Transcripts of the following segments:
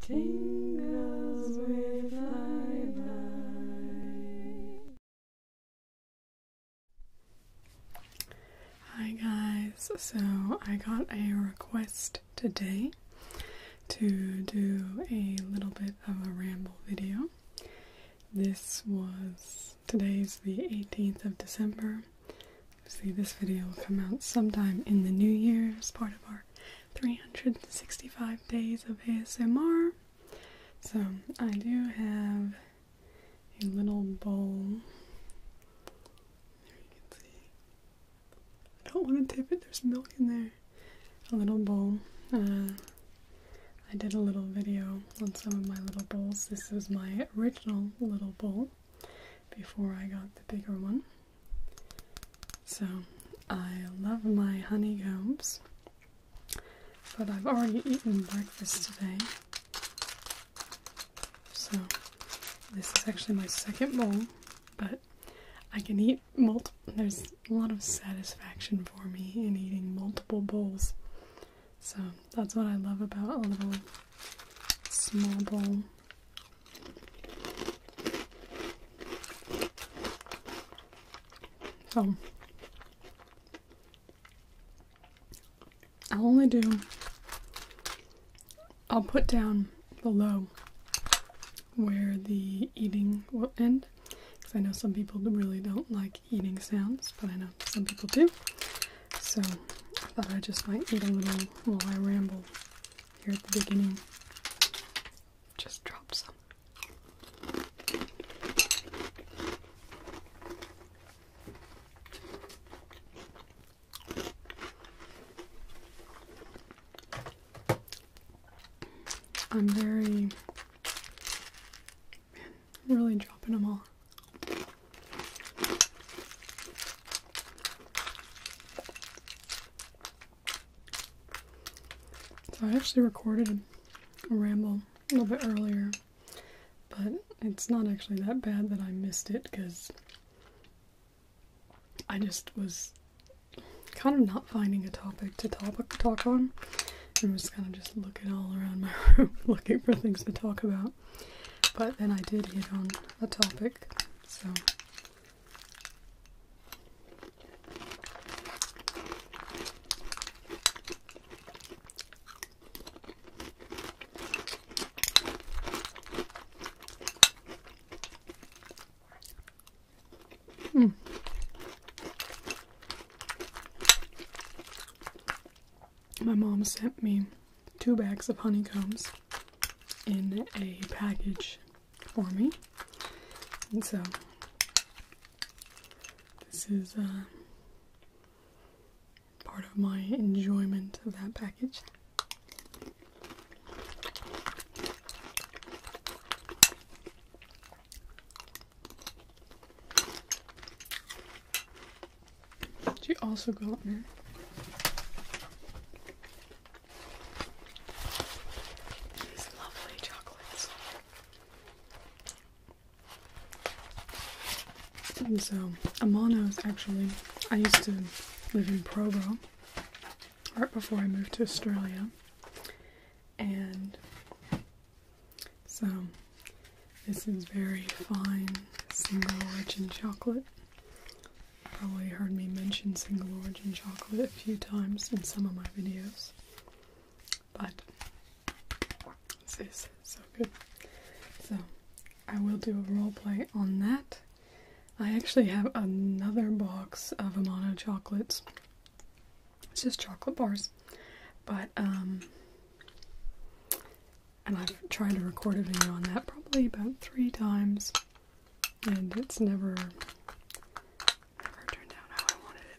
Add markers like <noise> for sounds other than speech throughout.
Tingles with thy life. Hi guys, so I got a request today to do a little bit of a ramble video. This was today's the 18th of December. See, this video will come out sometime in the new year as part of our 365 days of ASMR. So, I do have a little bowl. There you can see. I don't want to tip it, there's milk in there. A little bowl. Uh, I did a little video on some of my little bowls. This was my original little bowl before I got the bigger one. So I love my honeycombs, but I've already eaten breakfast today. So this is actually my second bowl, but I can eat multiple. There's a lot of satisfaction for me in eating multiple bowls. So that's what I love about a little small bowl so I'll only do, I'll put down below where the eating will end because I know some people really don't like eating sounds, but I know some people do. So I thought I just might eat a little while I ramble here at the beginning. Just drop some. I'm very, man, really dropping them all. So I actually recorded a ramble a little bit earlier, but it's not actually that bad that I missed it because I just was kind of not finding a topic to talk, on. I was kind of just looking all around my <laughs> room looking for things to talk about. But then I did hit on a topic, so Mm. My mom sent me two bags of honeycombs in a package for me. And so this is uh, part of my enjoyment of that package. Did you also go got there? These lovely chocolates. And so, Amano's actually, I used to live in Provo right before I moved to Australia. And so, this is very fine single origin chocolate probably heard me mention single origin chocolate a few times in some of my videos, but this is so good. So, I will do a role play on that. I actually have another box of Amano chocolates. It's just chocolate bars, but um, and I've tried to record a video on that probably about three times and it's never never turned out how I wanted it.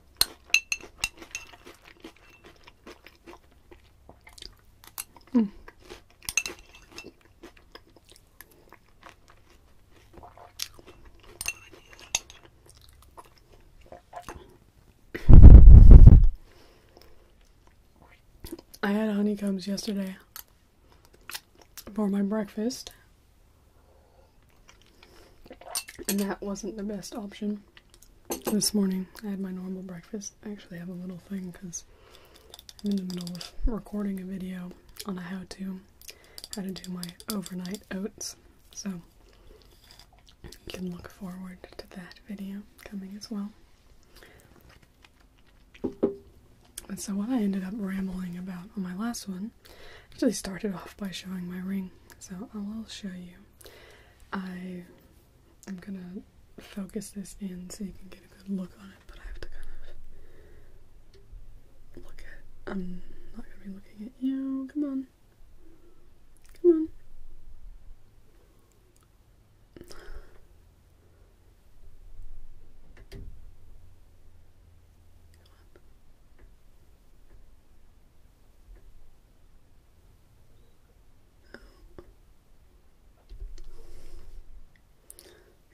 I had honeycombs yesterday for my breakfast. And that wasn't the best option. This morning I had my normal breakfast. I actually have a little thing because I'm in the middle of recording a video on a how to how to do my overnight oats. So you can look forward to that video coming as well. But so what I ended up rambling about on my last one actually started off by showing my ring. So I will show you I am gonna focus this in so you can get a good look on it, but I have to kind of look at I'm not gonna be looking at you. Come on. Come on.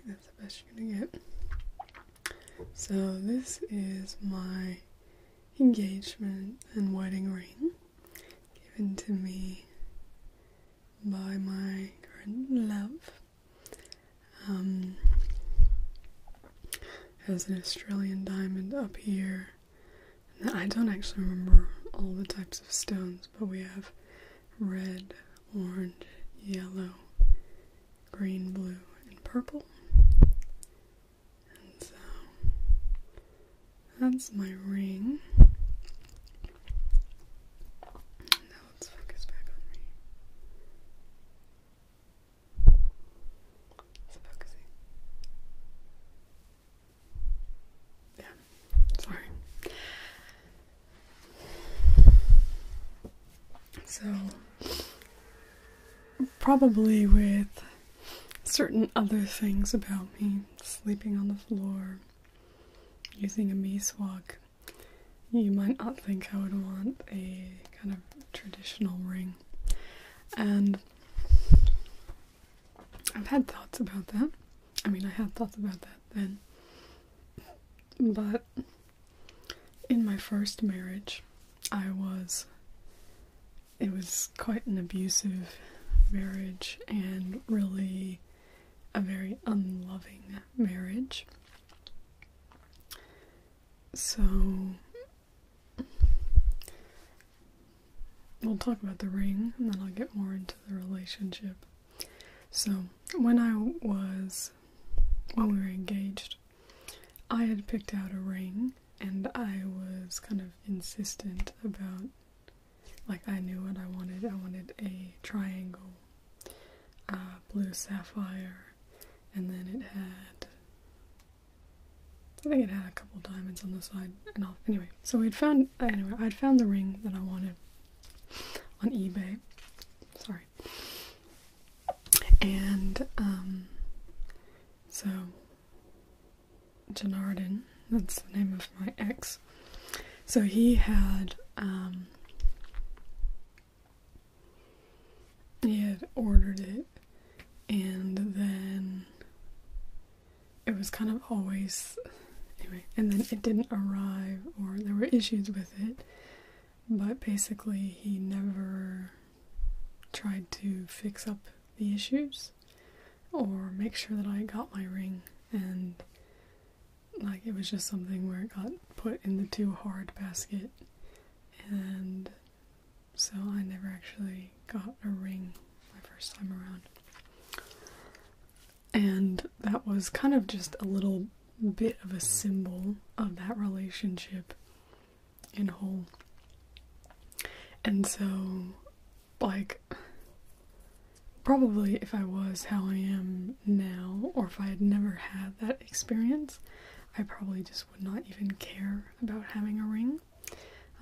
That's the best you're gonna get. So this is my engagement and wedding ring given to me by my love. Um, has an Australian diamond up here I don't actually remember all the types of stones, but we have red, orange, yellow, green, blue, and purple. so that's my ring. Now let's focus back on me. Yeah, sorry. So, probably with certain other things about me sleeping on the floor, using a beeswalk, you might not think I would want a kind of traditional ring. And I've had thoughts about that. I mean, I had thoughts about that then. But in my first marriage, I was. It was quite an abusive marriage and really a very unloving marriage. So we'll talk about the ring and then I'll get more into the relationship. So, when I was, when we were engaged, I had picked out a ring and I was kind of insistent about, like, I knew what I wanted. I wanted a triangle, uh, blue sapphire, and then it had I think it had a couple diamonds on the side and Anyway, so we'd found anyway, I'd found the ring that I wanted on eBay. Sorry. And um, so Janardin, that's the name of my ex. So he had um, he had ordered it and then it was kind of always anyway and then it didn't arrive or there were issues with it but basically he never tried to fix up the issues or make sure that I got my ring and like it was just something where it got put in the too hard basket and so I never actually got a ring my first time around. And that was kind of just a little bit of a symbol of that relationship in whole. And so, like, probably if I was how I am now, or if I had never had that experience, I probably just would not even care about having a ring.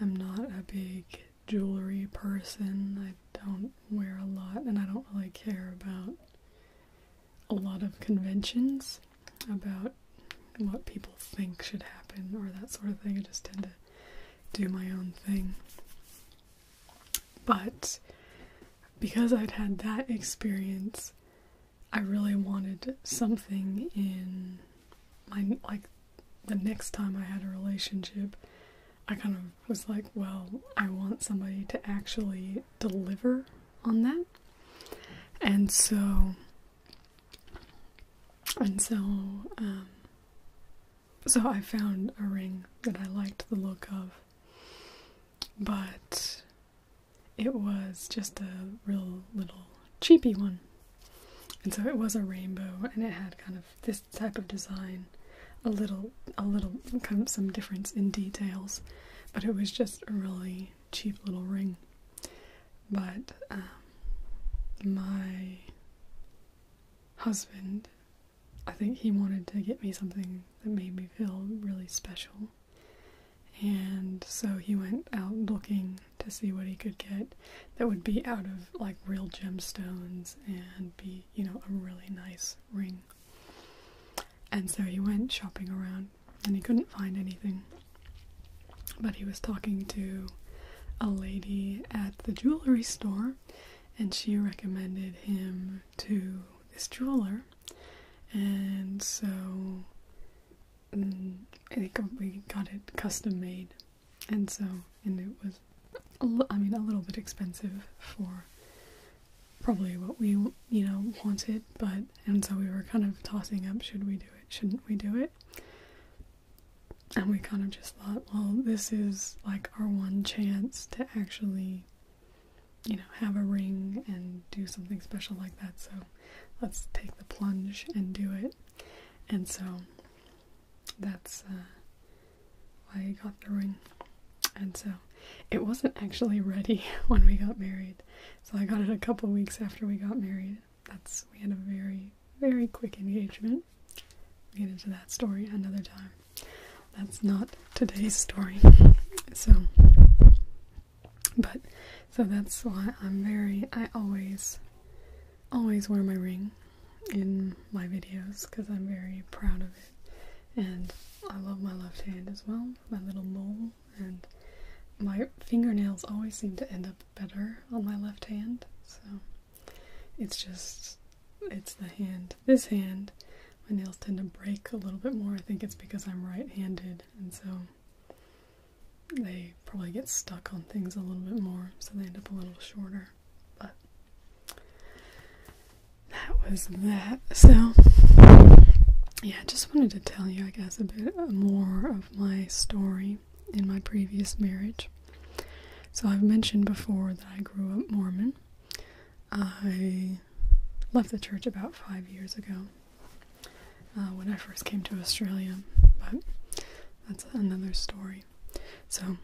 I'm not a big jewelry person. I don't wear a lot, and I don't really care about a lot of conventions about what people think should happen or that sort of thing. I just tend to do my own thing. But because I'd had that experience, I really wanted something in my like the next time I had a relationship, I kind of was like, well, I want somebody to actually deliver on that. And so, and so, um, so I found a ring that I liked the look of, but it was just a real little cheapy one. And so it was a rainbow and it had kind of this type of design, a little a little kind of some difference in details, but it was just a really cheap little ring. But um, my husband, I think he wanted to get me something that made me feel really special. And so he went out looking to see what he could get that would be out of like real gemstones and be, you know, a really nice ring. And so he went shopping around and he couldn't find anything. But he was talking to a lady at the jewelry store and she recommended him to this jeweler. And so they we got it custom made, and so and it was, I mean, a little bit expensive for probably what we you know wanted, but and so we were kind of tossing up: should we do it? Shouldn't we do it? And we kind of just thought, well, this is like our one chance to actually, you know, have a ring and do something special like that. So let's take the plunge and do it and so that's uh, why I got the ring. And so it wasn't actually ready <laughs> when we got married, so I got it a couple weeks after we got married. That's we had a very very quick engagement. We'll get into that story another time. That's not today's story. <laughs> So, but so that's why I'm very, I always, always wear my ring in my videos because I'm very proud of it. And I love my left hand as well, my little mole. And my fingernails always seem to end up better on my left hand. So it's just, it's the hand. This hand, my nails tend to break a little bit more. I think it's because I'm right handed. And so they probably get stuck on things a little bit more, so they end up a little shorter. But that was that. So, yeah, just wanted to tell you, I guess, a bit more of my story in my previous marriage. So, I've mentioned before that I grew up Mormon. I left the church about five years ago. Uh, when I first came to Australia, but that's another story. So,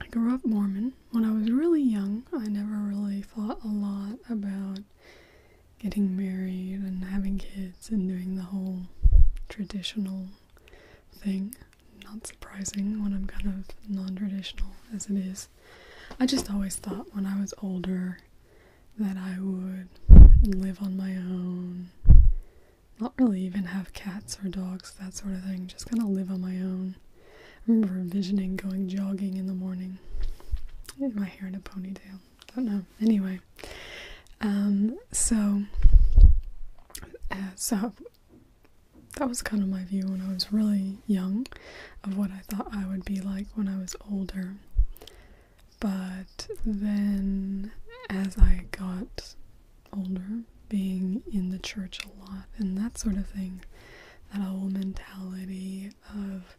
I grew up Mormon. When I was really young, I never really thought a lot about getting married and having kids and doing the whole traditional thing. Not surprising when I'm kind of non traditional as it is. I just always thought when I was older that I would live on my own not really even have cats or dogs, that sort of thing, just kind of live on my own. I remember envisioning going jogging in the morning with my hair in a ponytail. Don't know. Anyway, um, so, uh, so that was kind of my view when I was really young of what I thought I would be like when I was older. But then as I got older, being in the church a lot and that sort of thing, that whole mentality of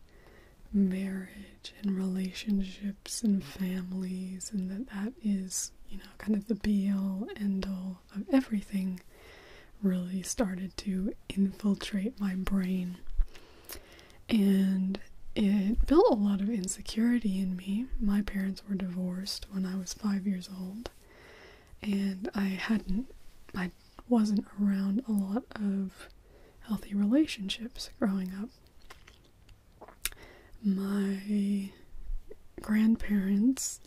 marriage and relationships and families, and that that is, you know, kind of the be all end all of everything, really started to infiltrate my brain and it built a lot of insecurity in me. My parents were divorced when I was five years old, and I hadn't, I wasn't around a lot of healthy relationships growing up. My grandparents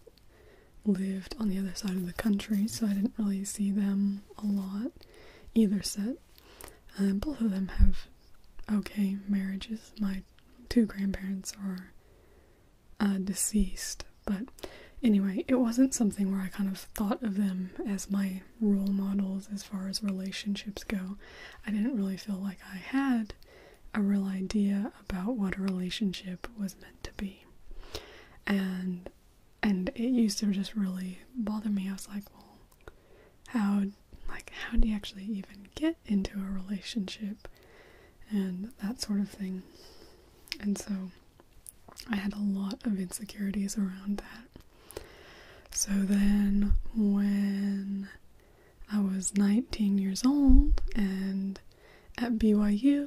lived on the other side of the country, so I didn't really see them a lot, either set. And um, both of them have okay marriages. My two grandparents are uh, deceased, but anyway, it wasn't something where I kind of thought of them as my role models as far as relationships go. I didn't really feel like I had a real idea about what a relationship was meant to be. And and it used to just really bother me. I was like, well, how like how do you actually even get into a relationship and that sort of thing. And so I had a lot of insecurities around that. So then when I was 19 years old and at BYU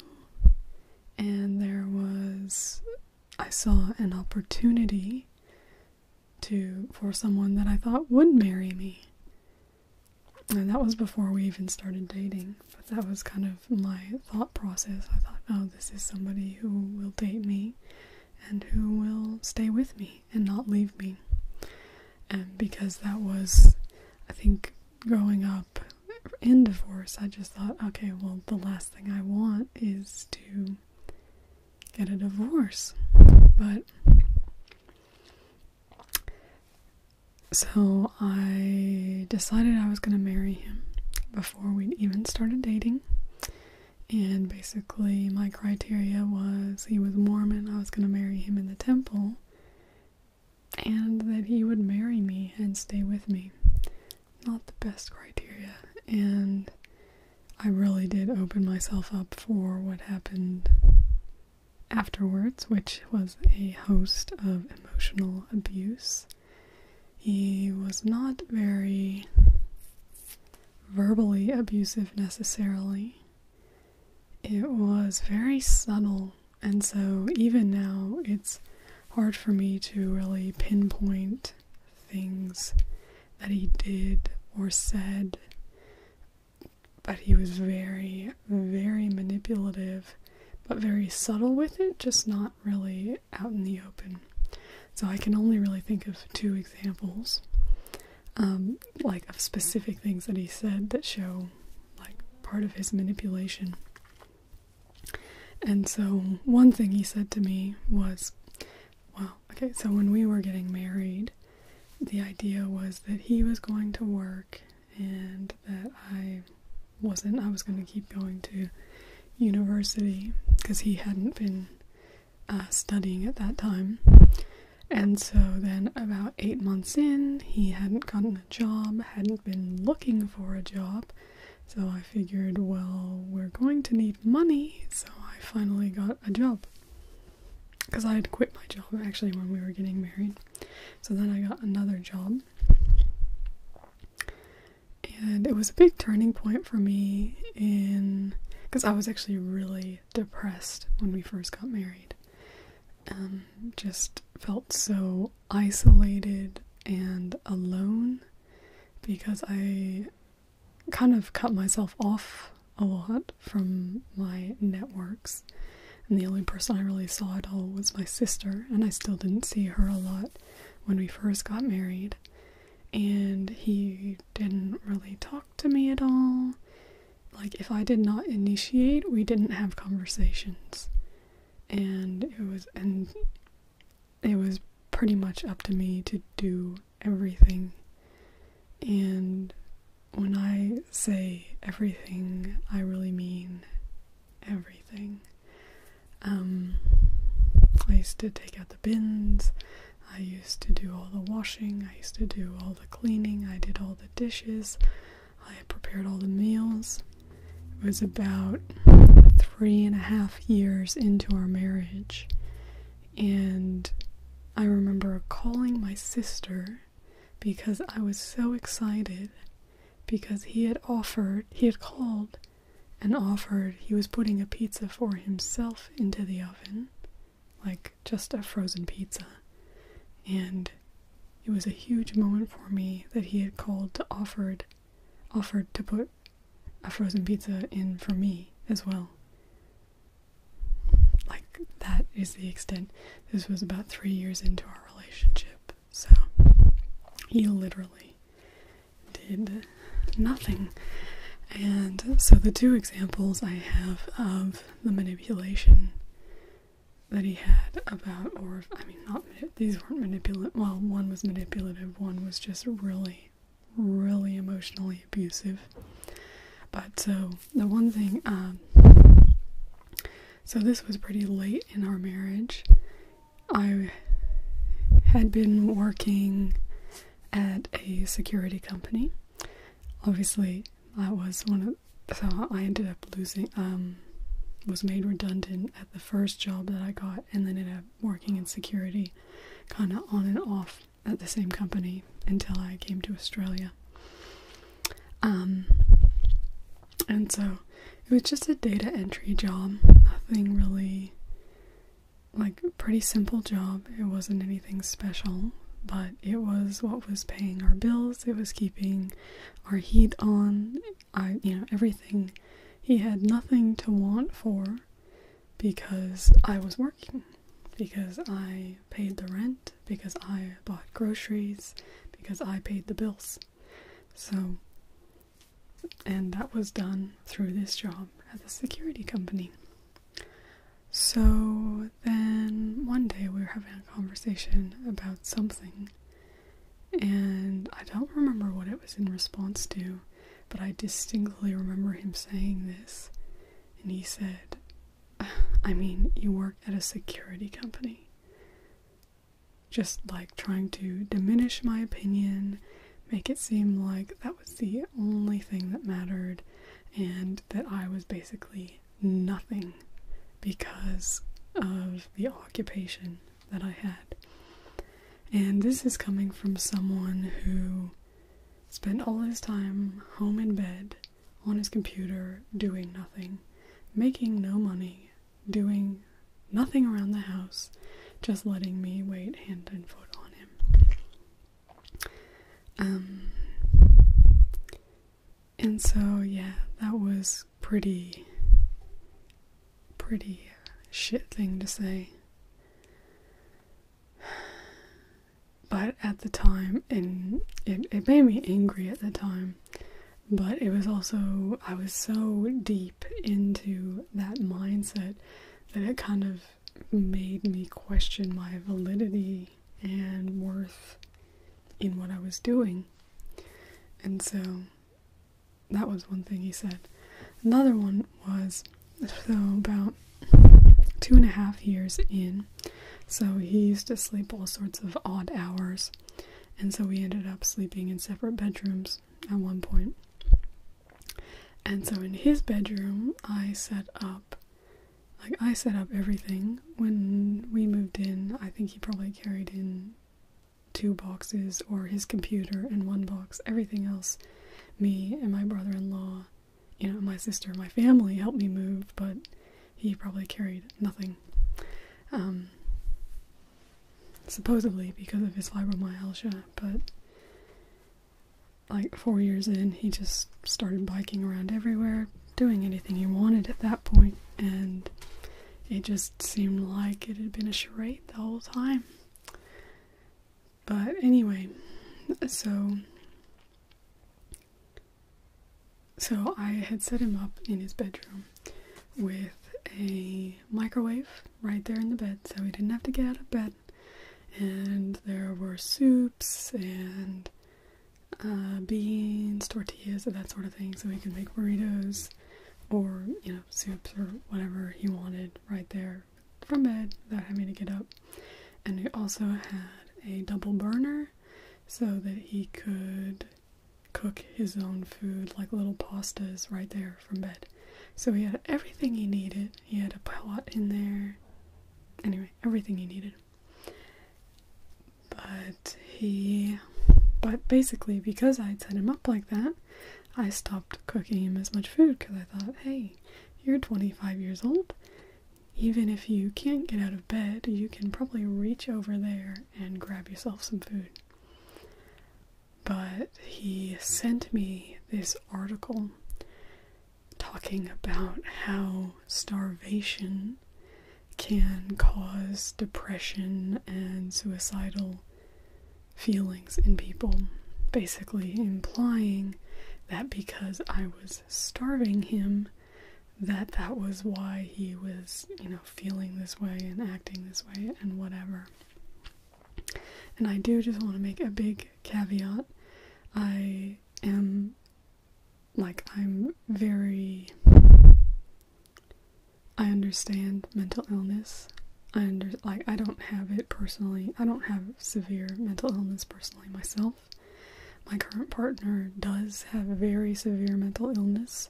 and there was I saw an opportunity to for someone that I thought would marry me. And that was before we even started dating. But that was kind of my thought process. I thought, oh, this is somebody who will date me and who will stay with me and not leave me. And because that was, I think, growing up in divorce, I just thought, okay, well, the last thing I want is to get a divorce. But so I decided I was going to marry him before we even started dating. And basically, my criteria was he was Mormon, I was going to marry him in the temple, and that he would marry me and stay with me. Not the best criteria. And I really did open myself up for what happened afterwards, which was a host of emotional abuse. He was not very verbally abusive necessarily. It was very subtle, and so even now it's hard for me to really pinpoint things that he did or said but he was very, very manipulative, but very subtle with it, just not really out in the open. So I can only really think of two examples, um, like of specific things that he said that show like part of his manipulation. And so one thing he said to me was, well, Okay, so when we were getting married, the idea was that he was going to work and that I wasn't. I was going to keep going to university because he hadn't been uh, studying at that time. And so then, about eight months in, he hadn't gotten a job, hadn't been looking for a job. So I figured, well, we're going to need money, so I finally got a job because I had quit my job actually when we were getting married. So then I got another job. And it was a big turning point for me in because I was actually really depressed when we first got married. and um, just felt so isolated and alone because I kind of cut myself off a lot from my networks. And the only person I really saw at all was my sister, and I still didn't see her a lot when we first got married. And he didn't really talk to me at all. Like, if I did not initiate, we didn't have conversations. And it was, and it was pretty much up to me to do everything. And when I say everything, I really mean everything. Um, I used to take out the bins, I used to do all the washing, I used to do all the cleaning, I did all the dishes, I prepared all the meals. It was about three and a half years into our marriage and I remember calling my sister because I was so excited because he had offered, he had called and offered he was putting a pizza for himself into the oven, like just a frozen pizza. And it was a huge moment for me that he had called to offered offered to put a frozen pizza in for me as well like that is the extent. This was about three years into our relationship, so he literally did nothing. And so the two examples I have of the manipulation that he had about, or I mean, not these weren't manipulative. Well, one was manipulative, one was just really really emotionally abusive. But so the one thing, um, so this was pretty late in our marriage. I had been working at a security company. Obviously, I was one of so I ended up losing um was made redundant at the first job that I got and then ended up working in security kind of on and off at the same company until I came to Australia. Um, and so it was just a data entry job, nothing really like pretty simple job. It wasn't anything special, but it was what was paying our bills. It was keeping our heat on. I, you know, everything. He had nothing to want for, because I was working, because I paid the rent, because I bought groceries, because I paid the bills. So, and that was done through this job at the security company. So then one day we were having a conversation about something, and I don't remember what it was in response to, but I distinctly remember him saying this. And he said, I mean, you work at a security company. Just like trying to diminish my opinion, make it seem like that was the only thing that mattered, and that I was basically nothing because of the occupation that I had. And this is coming from someone who spent all his time home in bed on his computer doing nothing, making no money, doing nothing around the house, just letting me wait hand and foot on him. Um, and so, yeah, that was pretty, pretty shit thing to say but at the time, and it, made me angry at the time, but it was also, I was so deep into that mindset that it kind of made me question my validity and worth in what I was doing. And so that was one thing he said. Another one was so about two and a half years in. So he used to sleep all sorts of odd hours, and so we ended up sleeping in separate bedrooms at one point. And so in his bedroom, I set up like I set up everything when we moved in. I think he probably carried in two boxes or his computer and one box, everything else me and my brother-in-law you know, my sister, my family helped me move, but he probably carried nothing. Um, supposedly because of his fibromyalgia, but like four years in, he just started biking around everywhere, doing anything he wanted at that point, and it just seemed like it had been a charade the whole time. But anyway, so so I had set him up in his bedroom with a microwave right there in the bed so he didn't have to get out of bed. And there were soups and uh, beans, tortillas, that sort of thing, so he could make burritos or, you know, soups or whatever he wanted right there from bed without having to get up and he also had a double burner so that he could cook his own food like little pastas right there from bed. So he had everything he needed. He had a pot in there. Anyway, everything he needed. But he but basically because I had set him up like that, I stopped cooking him as much food because I thought, hey, you're 25 years old even if you can't get out of bed, you can probably reach over there and grab yourself some food. But he sent me this article talking about how starvation can cause depression and suicidal feelings in people, basically implying that because I was starving him that that was why he was, you know, feeling this way and acting this way and whatever. And I do just want to make a big caveat. I am like I'm very I understand mental illness. I under like I don't have it personally. I don't have severe mental illness personally myself. My current partner does have very severe mental illness,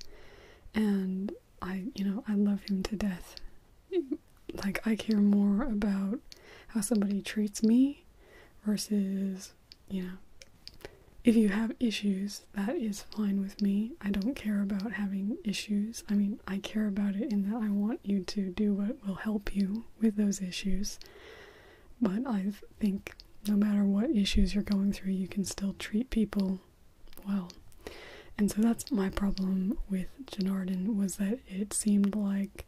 and I, you know, I love him to death. Like, I care more about how somebody treats me versus, you know, if you have issues, that is fine with me. I don't care about having issues. I mean, I care about it in that I want you to do what will help you with those issues. But I think no matter what issues you're going through, you can still treat people well. And so that's my problem with Janardin was that it seemed like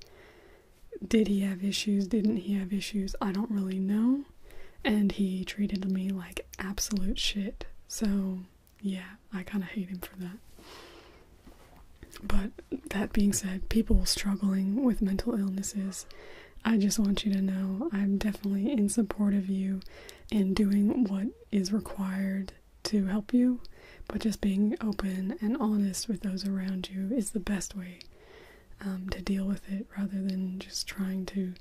did he have issues? Didn't he have issues? I don't really know. And he treated me like absolute shit. So, yeah, I kind of hate him for that. But that being said, people struggling with mental illnesses, I just want you to know I'm definitely in support of you in doing what is required to help you, but just being open and honest with those around you is the best way um, to deal with it rather than just trying to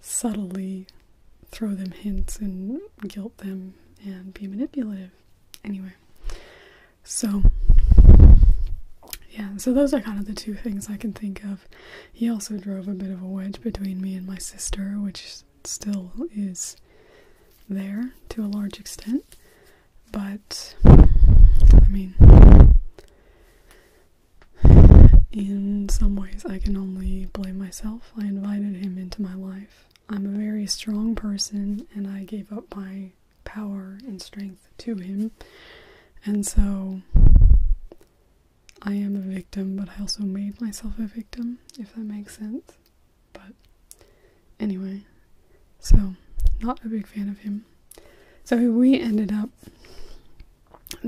subtly throw them hints and guilt them and be manipulative. Anyway, so, yeah, so those are kind of the two things I can think of. He also drove a bit of a wedge between me and my sister, which still is there to a large extent. But, I mean, in some ways, I can only blame myself. I invited him into my life. I'm a very strong person, and I gave up my power and strength to him. And so I am a victim, but I also made myself a victim, if that makes sense. But anyway, so not a big fan of him. So we ended up.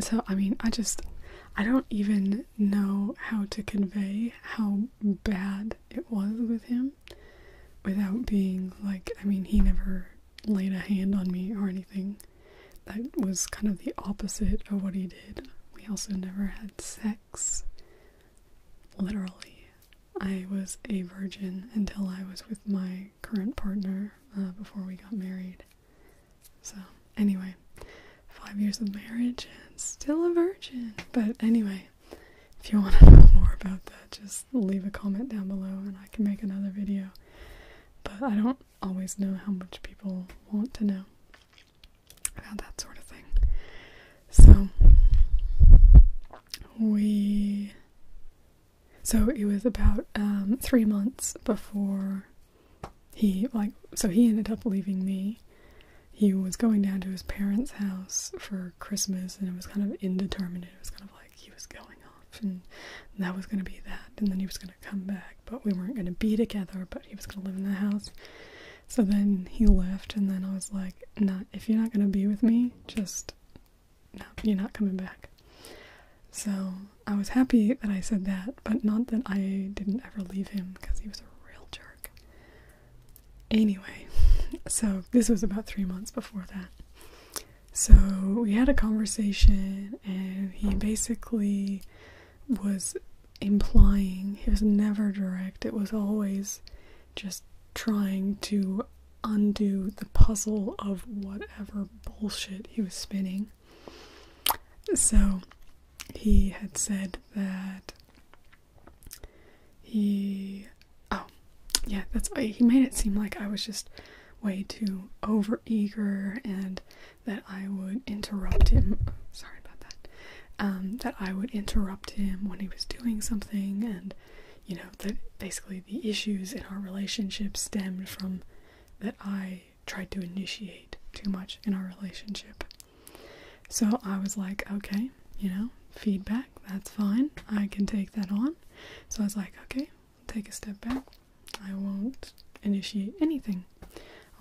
So, I mean, I just. I don't even know how to convey how bad it was with him without being like, I mean, he never laid a hand on me or anything. That was kind of the opposite of what he did. We also never had sex. Literally. I was a virgin until I was with my current partner uh, before we got married. So, anyway, five years of marriage and still a virgin. But anyway, if you want to <laughs> know more about that, just leave a comment down below and I can make another video. But I don't always know how much people want to know about that sort of thing. So, we. So it was about um, three months before he, like, so he ended up leaving me. He was going down to his parents' house for Christmas, and it was kind of indeterminate. It was kind of like he was going off, and that was going to be that, and then he was going to come back, but we weren't going to be together, but he was going to live in the house. So then he left, and then I was like, "Not if you're not going to be with me, just no, you're not coming back." So I was happy that I said that, but not that I didn't ever leave him because he was a real jerk. Anyway, <laughs> so this was about three months before that. So we had a conversation, and he basically was implying he was never direct, it was always just trying to undo the puzzle of whatever bullshit he was spinning. So he had said that he oh yeah that's he made it seem like i was just way too over eager and that i would interrupt him sorry about that um that i would interrupt him when he was doing something and you know that basically the issues in our relationship stemmed from that i tried to initiate too much in our relationship so i was like okay you know feedback that's fine. I can take that on. So I was like, okay, take a step back. I won't initiate anything.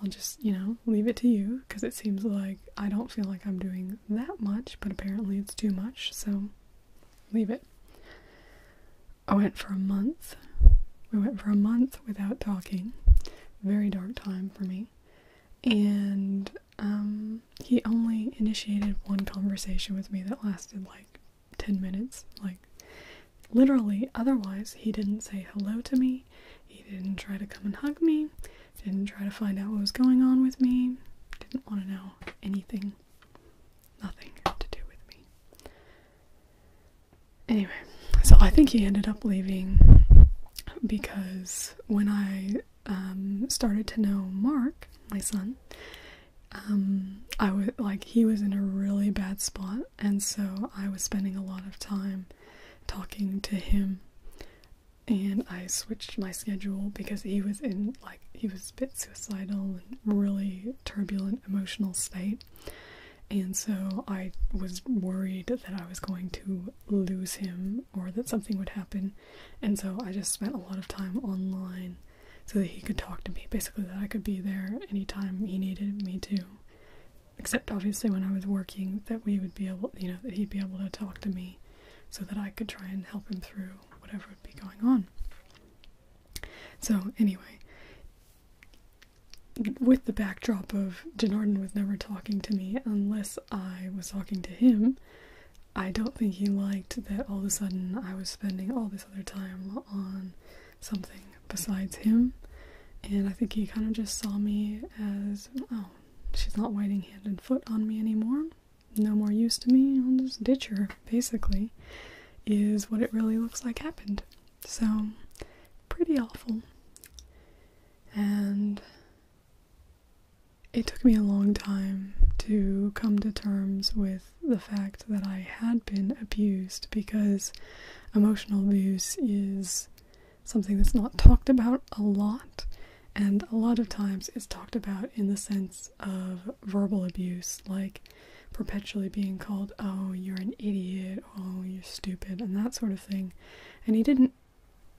I'll just, you know, leave it to you because it seems like I don't feel like I'm doing that much, but apparently it's too much, so leave it. I went for a month. We went for a month without talking. Very dark time for me. And um, he only initiated one conversation with me that lasted like 10 minutes. Like, literally, otherwise, he didn't say hello to me, he didn't try to come and hug me, didn't try to find out what was going on with me, didn't want to know anything. Nothing to do with me. Anyway, so I think he ended up leaving because when I um, started to know Mark, my son, um, I was like he was in a really bad spot, and so I was spending a lot of time talking to him. And I switched my schedule because he was in like he was a bit suicidal and really turbulent emotional state. And so I was worried that I was going to lose him or that something would happen. And so I just spent a lot of time online so that he could talk to me, basically that I could be there anytime he needed me to. Except obviously when I was working, that we would be able, you know, that he'd be able to talk to me so that I could try and help him through whatever would be going on. So, anyway, with the backdrop of Denarden was never talking to me unless I was talking to him, I don't think he liked that all of a sudden I was spending all this other time on something besides him. And I think he kind of just saw me as, oh, she's not waiting hand and foot on me anymore. No more use to me. I'll just ditch her, basically, is what it really looks like happened. So, pretty awful. And it took me a long time to come to terms with the fact that I had been abused because emotional abuse is something that's not talked about a lot, and a lot of times it's talked about in the sense of verbal abuse, like perpetually being called, oh, you're an idiot, oh, you're stupid, and that sort of thing. And he didn't,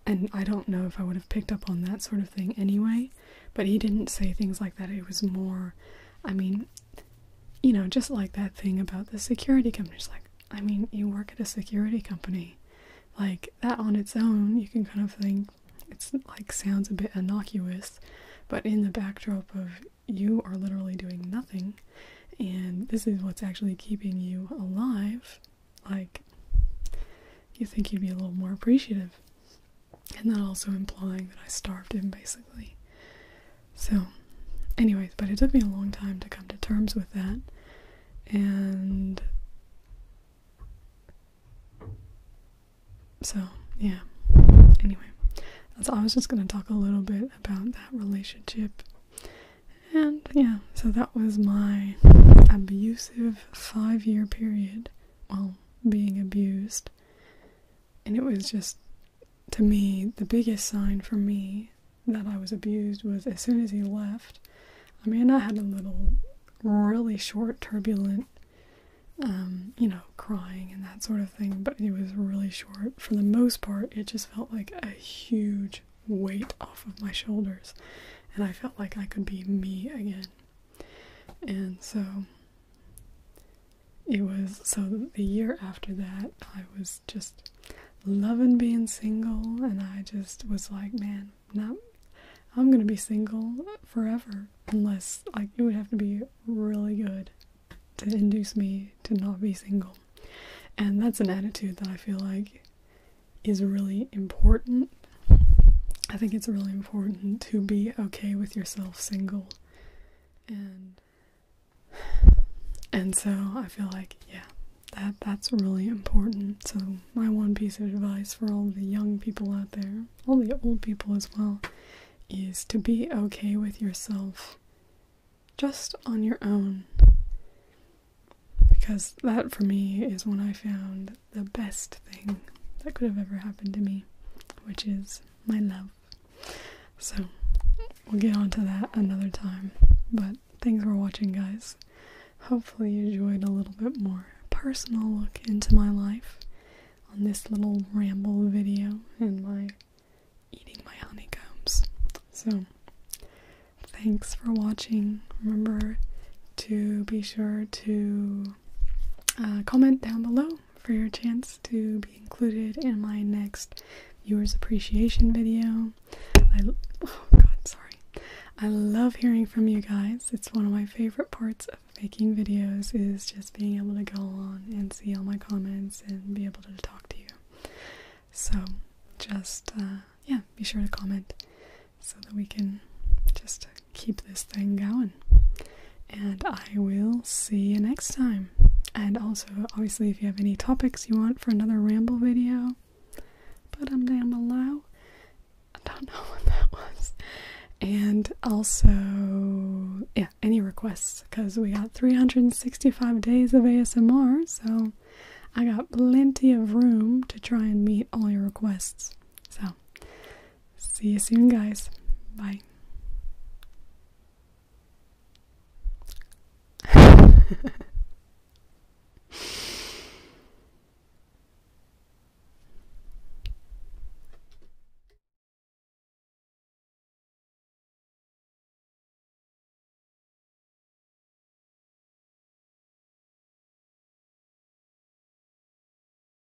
and I don't know if I would have picked up on that sort of thing anyway, but he didn't say things like that. It was more, I mean, you know, just like that thing about the security companies. Like, I mean, you work at a security company. Like, that on its own, you can kind of think it's like sounds a bit innocuous, but in the backdrop of you are literally doing nothing, and this is what's actually keeping you alive, like, you think you'd be a little more appreciative and that also implying that I starved him basically. So, anyways, but it took me a long time to come to terms with that, and so yeah. Anyway, so I was just going to talk a little bit about that relationship, and yeah, so that was my abusive five year period while being abused and it was just, to me, the biggest sign for me that I was abused was as soon as he left. I mean, I had a little, really short, turbulent, um, you know, crying and that sort of thing, but it was really short. For the most part, it just felt like a huge weight off of my shoulders, and I felt like I could be me again. And so it was so the year after that, I was just loving being single, and I just was like, man, not I'm gonna be single forever unless like it would have to be really good to induce me to not be single. And that's an attitude that I feel like is really important I think it's really important to be okay with yourself single. And and so I feel like yeah, that that's really important. So my one piece of advice for all the young people out there, all the old people as well, is to be okay with yourself just on your own. Because that for me is when I found the best thing that could have ever happened to me, which is my love. So we'll get on to that another time. But thanks for watching, guys. Hopefully, you enjoyed a little bit more personal look into my life on this little ramble video and my eating my honeycombs. So, thanks for watching. Remember to be sure to uh, comment down below for your chance to be included in my next viewers appreciation video. I oh god, sorry. I love hearing from you guys. It's one of my favorite parts of making videos is just being able to go on and see all my comments and be able to talk to you. So just uh, yeah, be sure to comment so that we can just keep this thing going. And I will see you next time. And also, obviously, if you have any topics you want for another ramble video, put them down below. I don't <laughs> know what that was. And also, yeah, any requests because we got 365 days of ASMR, so I got plenty of room to try and meet all your requests. So, See you soon, guys. Bye.